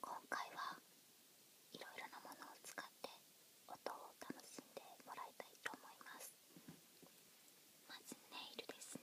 今回はいろいろなものを使って音を楽しんでもらいたいと思いますまずネイルですね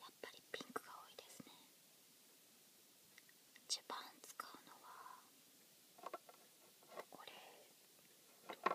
やっぱりピンクが多いですね一番使うのはこれこれかな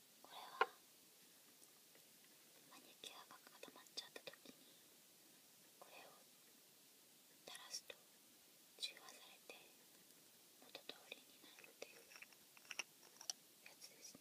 これはマニキュアが固まっちゃった時にこれを垂らすと中和されて元通りになるっていうやつですね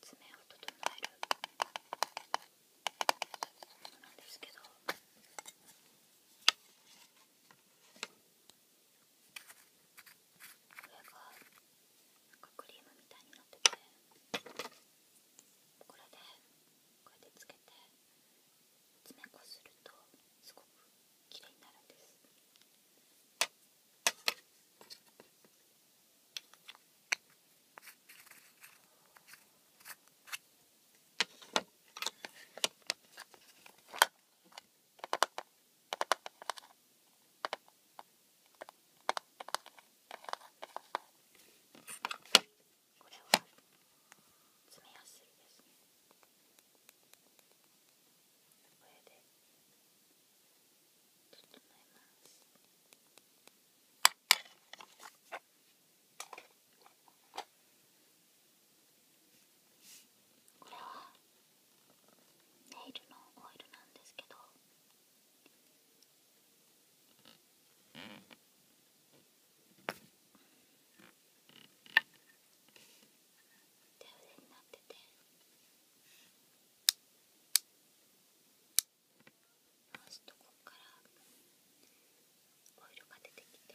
爪を整えるものなんですけど。これがなんかクリームみたいになっててこれでこうやってつけて爪こするとすごく綺麗になるんですここれは詰めやすいですねこれで整えますこれはネイルのオイルなんですけど手腕になってて回すとこっからオイルが出てきて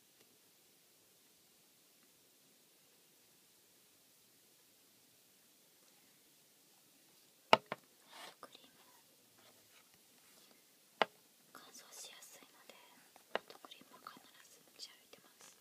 クリーム乾燥しやすいのでホットクリームは必ず持ち歩いてます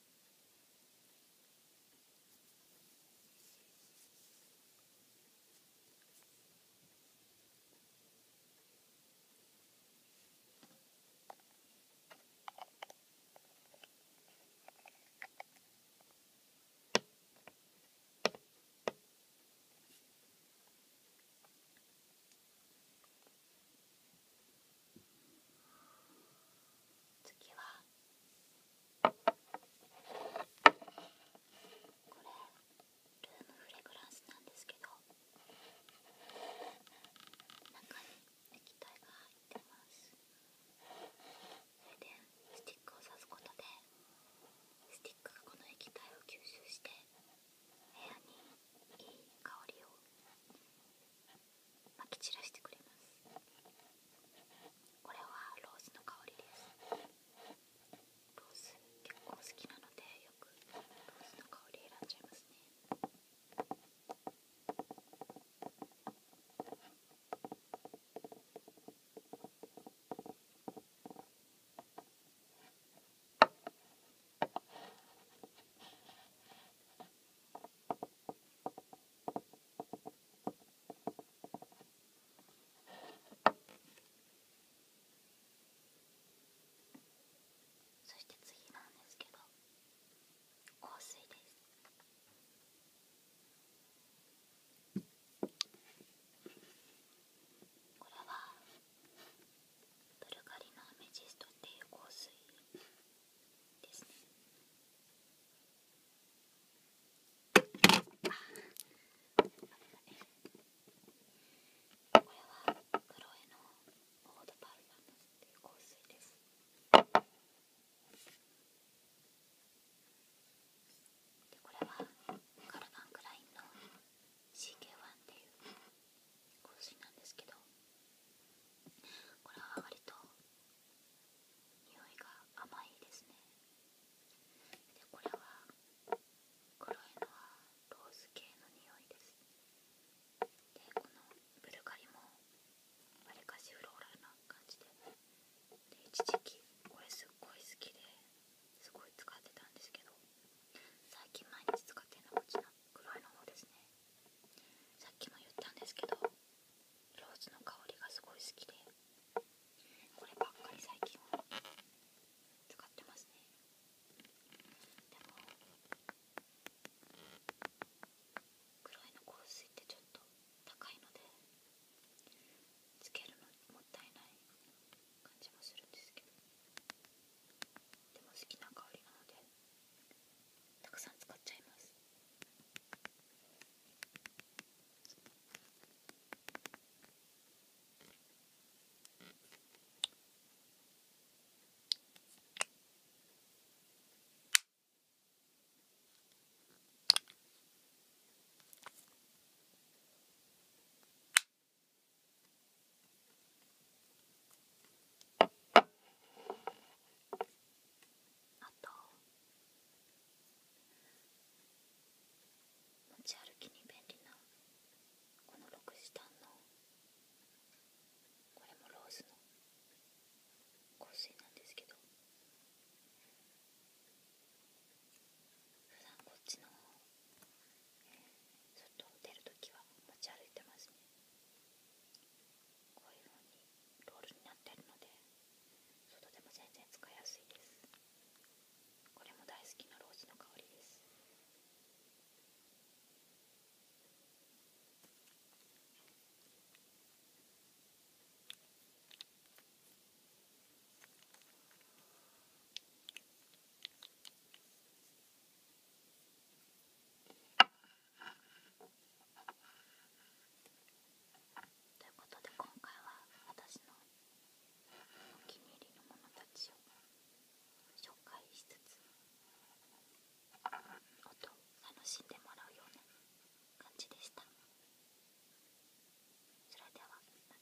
次はこれルームフレグランスなんですけど中に液体が入ってますそれでスティックを刺すことでスティックがこの液体を吸収して部屋にいい香りをこれはローズの香りですローズ結構好きなのでよくローズの香り選んじゃいますねこそして次なんですけど香水ですこれはブルガリのアメジストっていう香水ですねこれはクロエの香水ですこれはカルバン・クラインの CK1 っていう香水なんですけどこれは割と匂いが甘いですねでこれは黒いのはローズ系の匂いですでこのブルガリもわりかしフローラルな感じで一時期これすっごい好きですごい使ってたんですけど最近毎日使ってるのはこっちの黒いの方ですねさっきも言ったんですけどローズの香りがすごい好きでこればっかり最近は使ってますねでも黒いの香水ってちょっと高いのでつけるのもったいない感じもするんですけどでも好きな香りなのでたくさん使っちゃいますあと持ち歩きに便利なこのロクシタンのこれもローズの香水なんですけど普段こっちの外に出るときは持ち歩いてますねこういう風にロールになってるので外でも全然使いやすいですこれも大好きなローズの香りですということで今回は私のお気に入りのものたちを紹介しつつ音を楽しんでもらうような感じでしたそれではまた